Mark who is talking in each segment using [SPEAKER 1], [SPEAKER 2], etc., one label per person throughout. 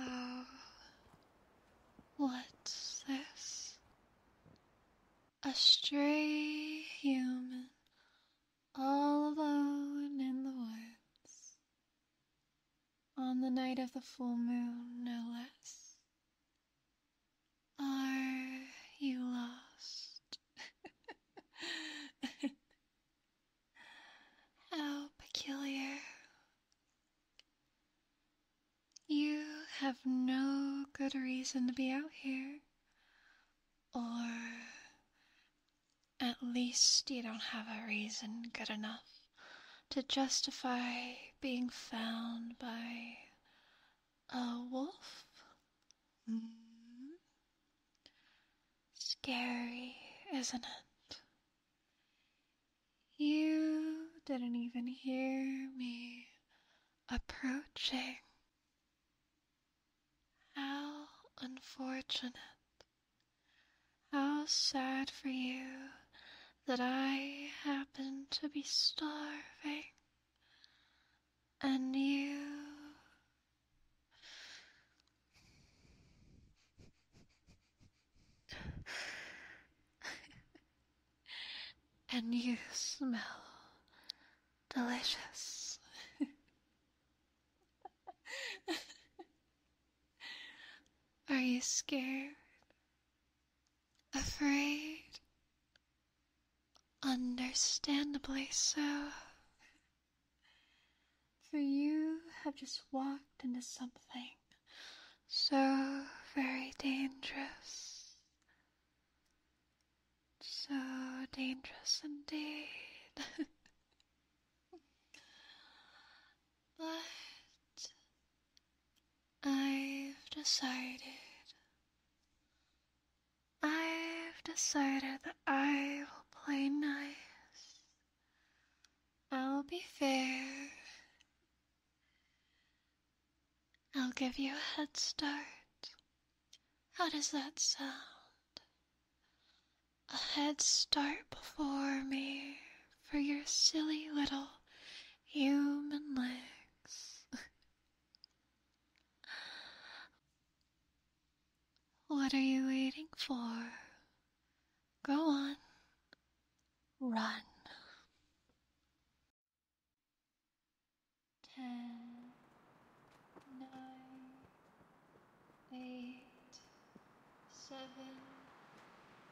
[SPEAKER 1] Uh, what's
[SPEAKER 2] this? A stray human all alone in the woods on the night of the full moon, no less. Are you lost? How peculiar. You have no good reason to be out here, or at least you don't have a reason good enough to justify being found by a wolf. Mm-hmm. Scary, isn't it? You didn't even hear me approaching. How unfortunate. How sad for you that I happen to be starving. And you. and you smell delicious. Are you scared? Afraid? Understandably so. For you have just walked into something so very dangerous. So dangerous indeed. but I've decided. I've decided that I will play nice. I'll be fair. I'll give you a head start. How does that sound? A head start before me for your silly little human legs. what are you waiting for? Go on, run. Ten. Nine. Eight. Seven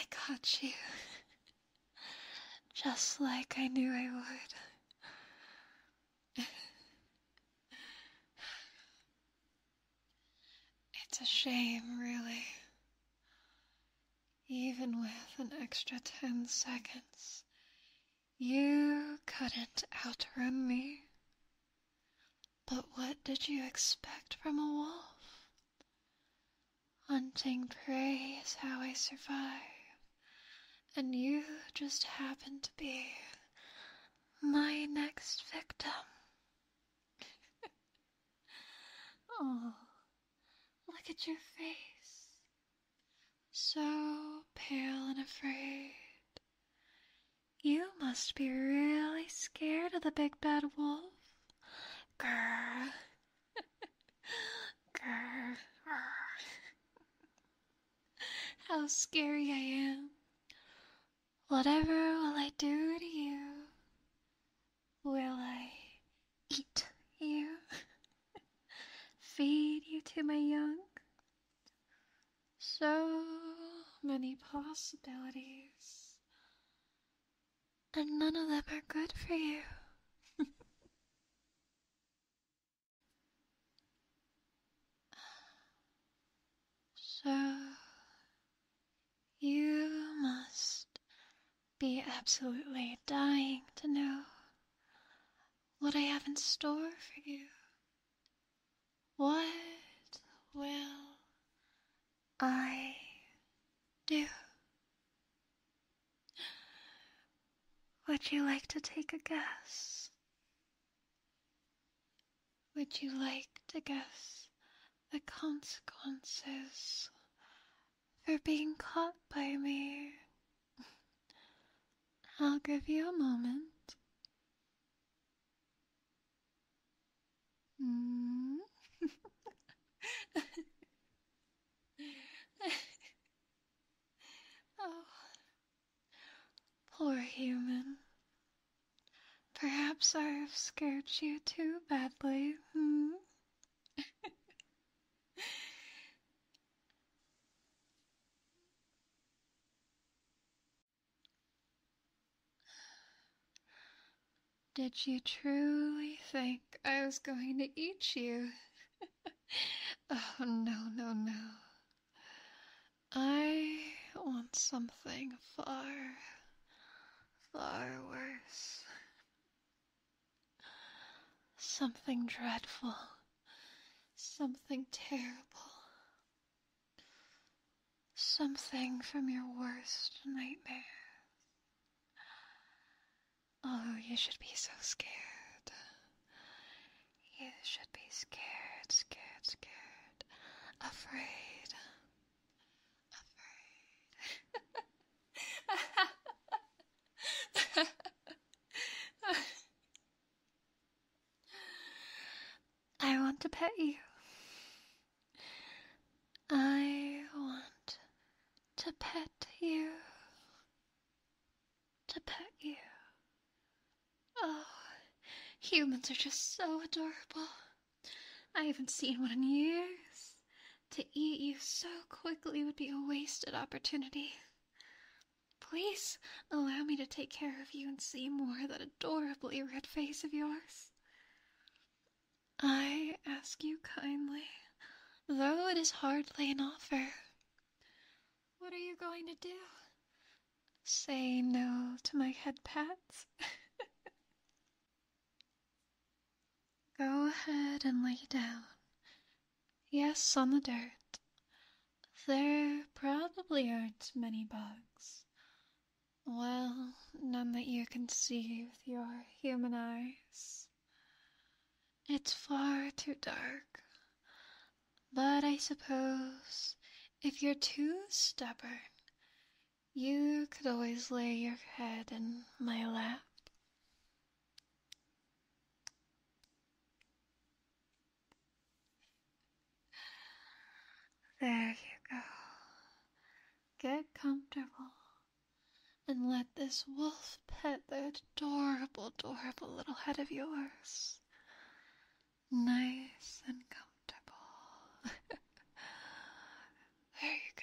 [SPEAKER 2] I caught you. Just like I knew I would. it's a shame, really. Even with an extra ten seconds, you couldn't outrun me. But what did you expect from a wolf? Hunting prey is how I survive, and you just happened to be my next victim. oh, look at your face. So pale and afraid. You must be really scared of the big bad wolf. Grr. Grr. How scary I am. Whatever will I do to you? Will I eat you? Feed you to my young? So many possibilities and none of them are good for you. so, you must be absolutely dying to know what I have in store for you. What will I do. Would you like to take a guess? Would you like to guess the consequences for being caught by me? I'll give you a moment.
[SPEAKER 1] Mm. oh,
[SPEAKER 2] poor human. Perhaps I've scared you too badly, hmm? Did you truly think I was going to eat you? oh, no, no, no. I want something far, far worse. Something dreadful. Something terrible something from your worst nightmare. Oh, you should be so scared. You should be scared, scared, scared. Afraid. Afraid. I want to pet you. I want to pet you, to pet you. Oh, humans are just so adorable. I haven't seen one in years. To eat you so quickly would be a wasted opportunity. Please allow me to take care of you and see more of that adorably red face of yours. I ask you kindly, though it is hardly an offer. What are you going to do? Say no to my head pats? Go ahead and lay down. Yes, on the dirt. There probably aren't many bugs. Well, none that you can see with your human eyes. It's far too dark. But I suppose if you're too stubborn, you could always lay your head in my lap. There you go. Get comfortable and let this wolf pet that adorable, adorable little head of yours. Nice and comfortable.
[SPEAKER 1] there you go.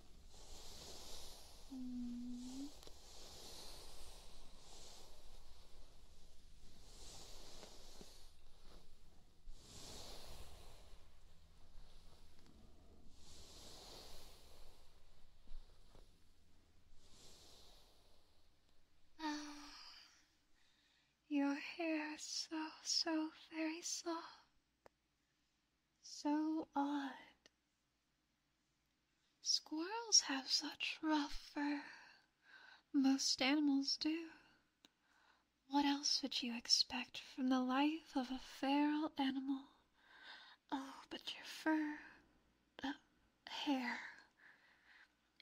[SPEAKER 1] Oh,
[SPEAKER 2] your hair is so, so very soft. So odd. Squirrels have such rough fur. Most animals do. What else would you expect from the life of a feral animal? Oh, but your fur, the hair,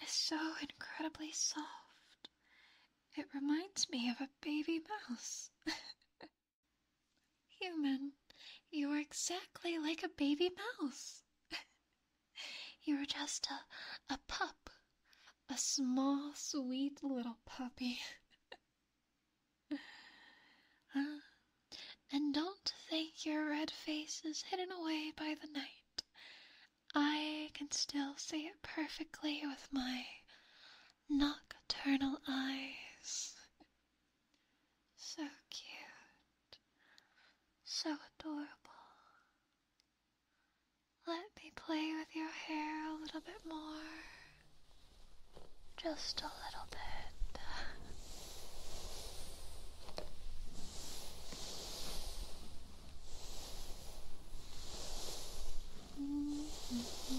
[SPEAKER 2] is so incredibly soft. It reminds me of a baby mouse. Human, you're exactly like a baby mouse. you're just a, a pup, a small, sweet little puppy. And don't think your red face is hidden away by the night. I can still see it perfectly with my nocturnal eyes. So cute. So adorable. Let me play with your hair a little bit more.
[SPEAKER 1] Just a little bit.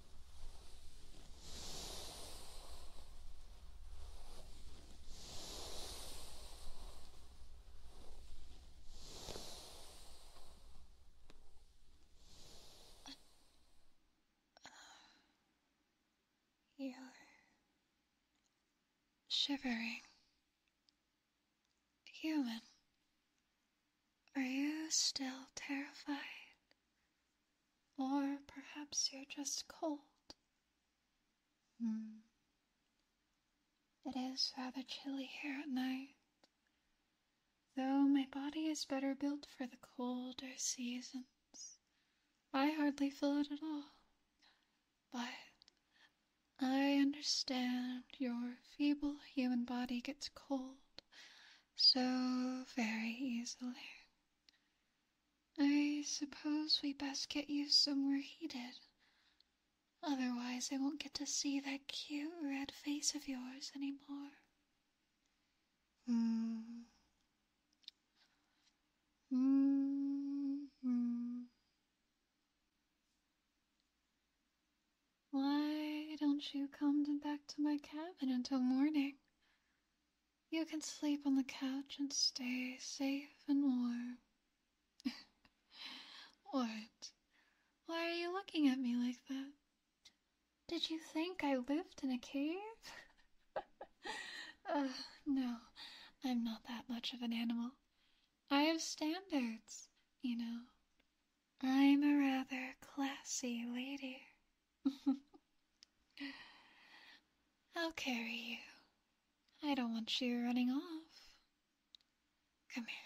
[SPEAKER 2] You're shivering. Human, are you still terrified? Or perhaps you're just cold. Hmm. It is rather chilly here at night, though my body is better built for the colder seasons. I hardly feel it at all, but I understand your feeble human body gets cold so very easily. I suppose we best get you somewhere heated. Otherwise, I won't get to see that cute red face of yours anymore. Hmm. Why don't you come back to my cabin until morning? You can sleep on the couch and stay safe and warm. what? Why are you looking at me like that? Did you think I lived in a cave? uh, no, I'm not that much of an animal. I have standards, you know. I'm a rather classy lady. I'll carry you. I don't want you running off. Come here.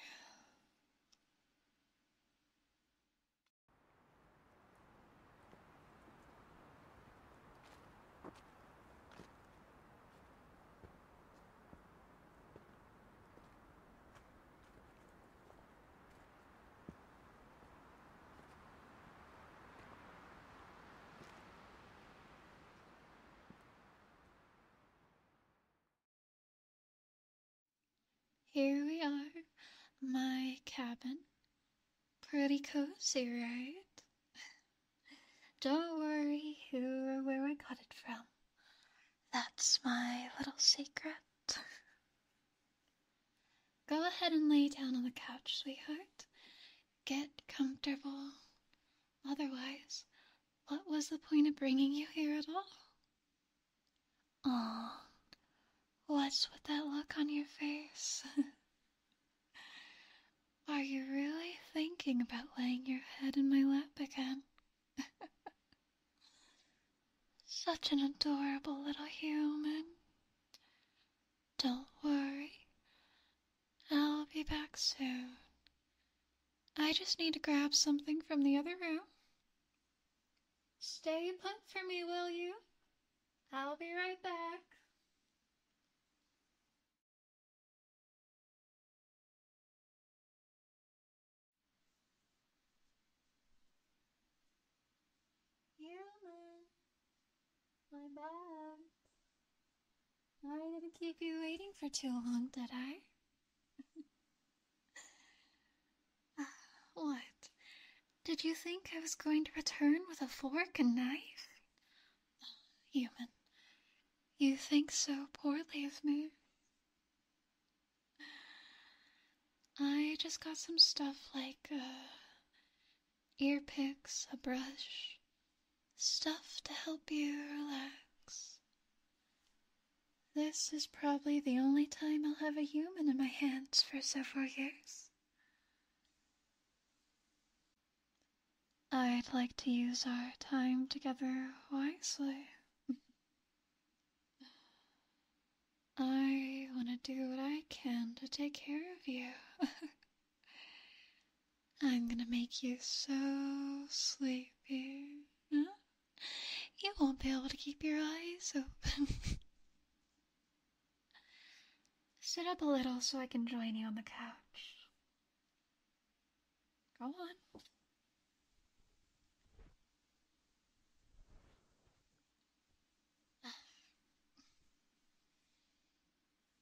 [SPEAKER 2] Here we are, my cabin. Pretty cozy, right? Don't worry who or where I got it from. That's my little secret. Go ahead and lay down on the couch, sweetheart. Get comfortable. Otherwise, what was the point of bringing you here at all?
[SPEAKER 1] Oh,
[SPEAKER 2] what's with that look on your face? Are you really thinking about laying your head in my lap again? Such an adorable little human. Don't worry. I'll be back soon. I just need to grab something from the other room. Stay put for me, will you?
[SPEAKER 1] I'll be right back. Human, my
[SPEAKER 2] bad. I didn't keep you waiting for too long, did I? what? Did you think I was going to return with a fork and knife? Human, you think so poorly of me. I just got some stuff like, uh, ear picks, a brush, stuff to help you relax. This is probably the only time I'll have a human in my hands for several years. I'd like to use our time together wisely. I want to do what I can to take care of you. I'm gonna make you so sleepy. You won't be able to keep your eyes open. Sit up a little so I can join you on the couch.
[SPEAKER 1] Go on.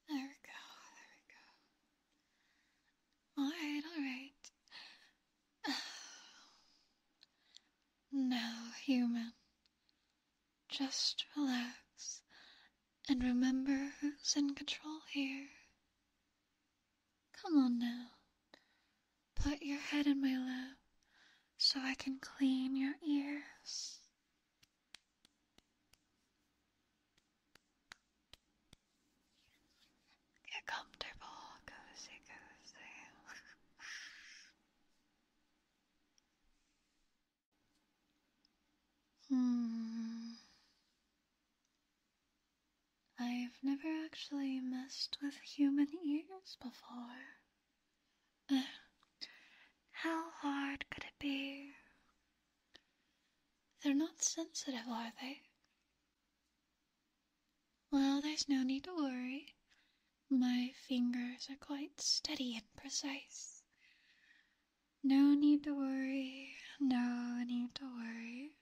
[SPEAKER 1] There we go,
[SPEAKER 2] there we go. Alright, alright. Now, human, just relax and remember who's in control here. Come on now. Put your head in my lap so I can clean your ears.
[SPEAKER 1] Get comfortable, cozy, cozy. hmm.
[SPEAKER 2] I've never actually messed with human ears before. How hard could it be? They're not sensitive, are they? Well, there's no need to worry. My fingers are quite steady and precise. No need to worry, no need to worry.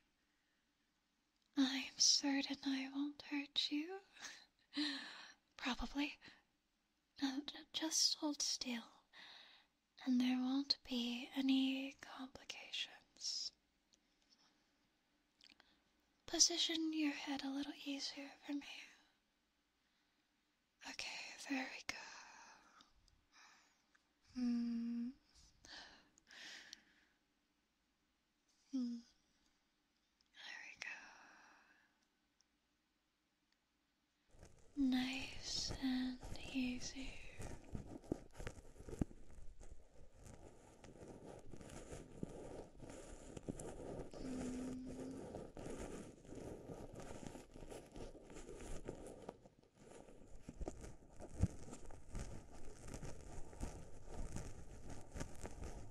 [SPEAKER 2] I'm certain I won't hurt you. Probably. Now just hold still, and there won't be any complications. Position your head a little easier for me. Okay, there we go.
[SPEAKER 1] Hmm. Hmm. There we go
[SPEAKER 2] nice and easy.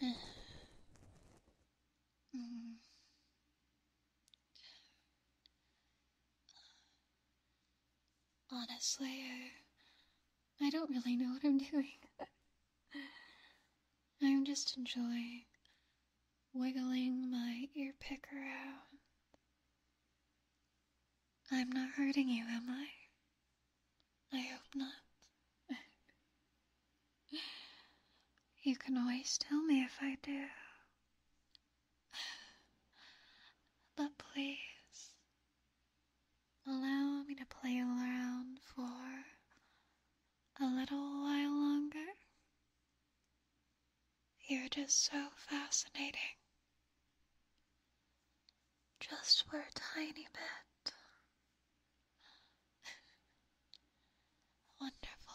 [SPEAKER 1] Mm.
[SPEAKER 2] Honestly, I don't really know what I'm doing. I'm just enjoying wiggling my ear picker out. I'm not hurting you, am I? I hope not. you can always tell me if I do. But please, Allow me to play around for a little while longer. You're just so fascinating. Just for a tiny bit. Wonderful.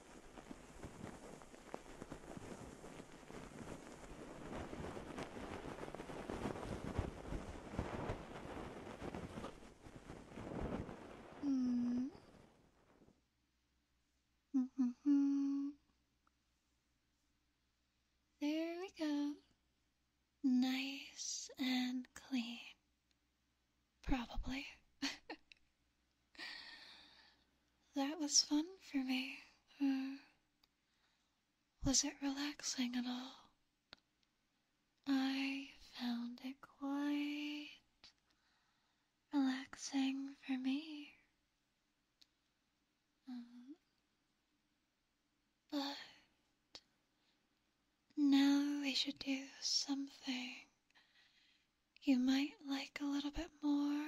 [SPEAKER 1] Hmm. Mm -hmm -hmm. There
[SPEAKER 2] we go. Nice and clean. Probably. That was fun for me. Uh, was it relaxing at all? I found it quite relaxing for me. Um, but now we should do something you might like a little bit more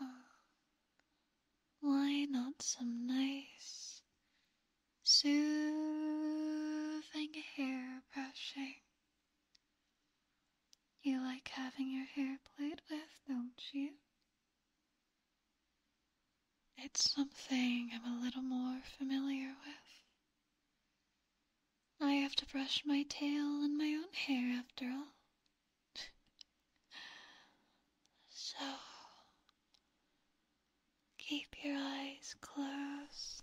[SPEAKER 2] uh, why not some nice, soothing hair brushing? You like having your hair played with, don't you? It's something I'm a little more familiar with. I have to brush my tail and my own hair after all. so, keep your eyes closed.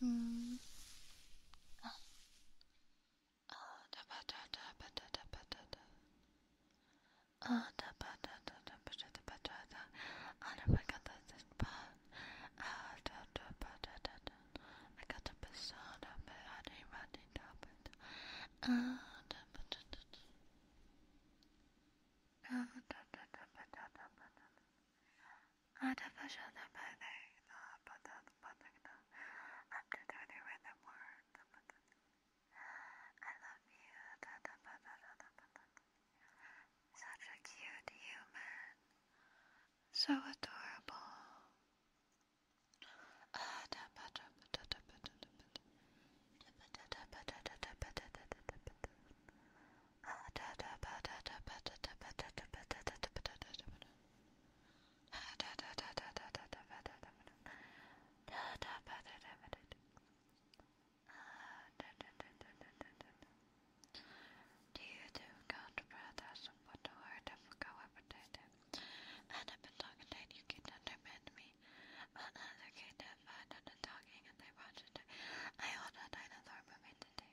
[SPEAKER 1] 嗯，啊，啊哒吧哒哒吧哒哒吧哒哒，啊哒吧哒哒哒吧哒哒吧哒哒，啊哒吧哒哒吧，啊哒哒吧哒哒哒，I got the best out of it, I didn't run it up it, ah 哒吧哒哒哒，啊哒哒哒吧哒哒吧哒哒，I love
[SPEAKER 2] you, da Such a cute human, so adorable. Ada patat patat patat do you
[SPEAKER 1] do count brothers what the word of cohabitation? And I've been talking that you can understand me. But another kid that found out the talking and they watched it. I hold a dinosaur movie today.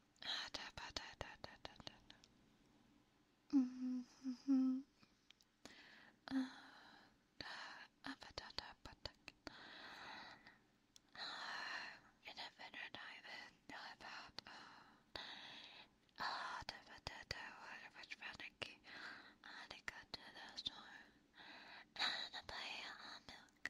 [SPEAKER 1] In a better time than about Ah, the potato water which panicky and it got to the store and a play uh, on milk.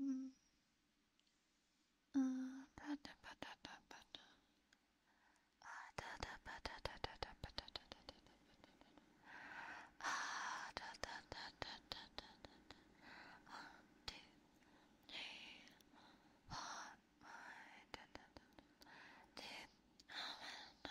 [SPEAKER 1] Mm. Uh, da da ba da da da. Ah, da da ba da da da da ba da da da da da da da. Ah, da da da da da da da da. One, two, three, four, five, da da da da. Deep, ah, da.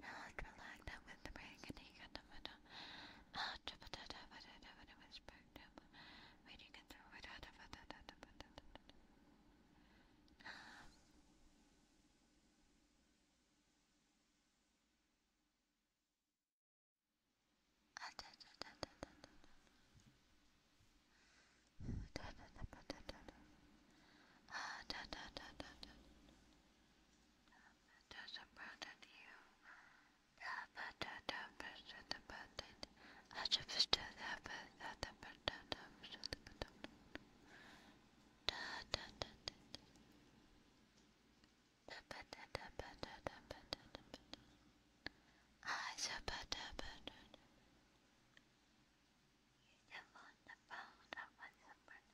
[SPEAKER 1] Alec relaxed out with the break and he got the window. Ah, da-ba-da-da, da-ba-da-da, but it was burnt up. Wait, you can throw it out of da da da da da da Ah, da da da da da. Ah, da da da da da. It doesn't bother you. That button, that button, the button. I just do that, but that the button, that button, the button. Da da da da da. Da ba da da ba da da ba da da ba da. I so ba da ba da da. You don't want the phone, I want the button.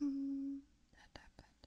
[SPEAKER 1] Mm -hmm. That happened.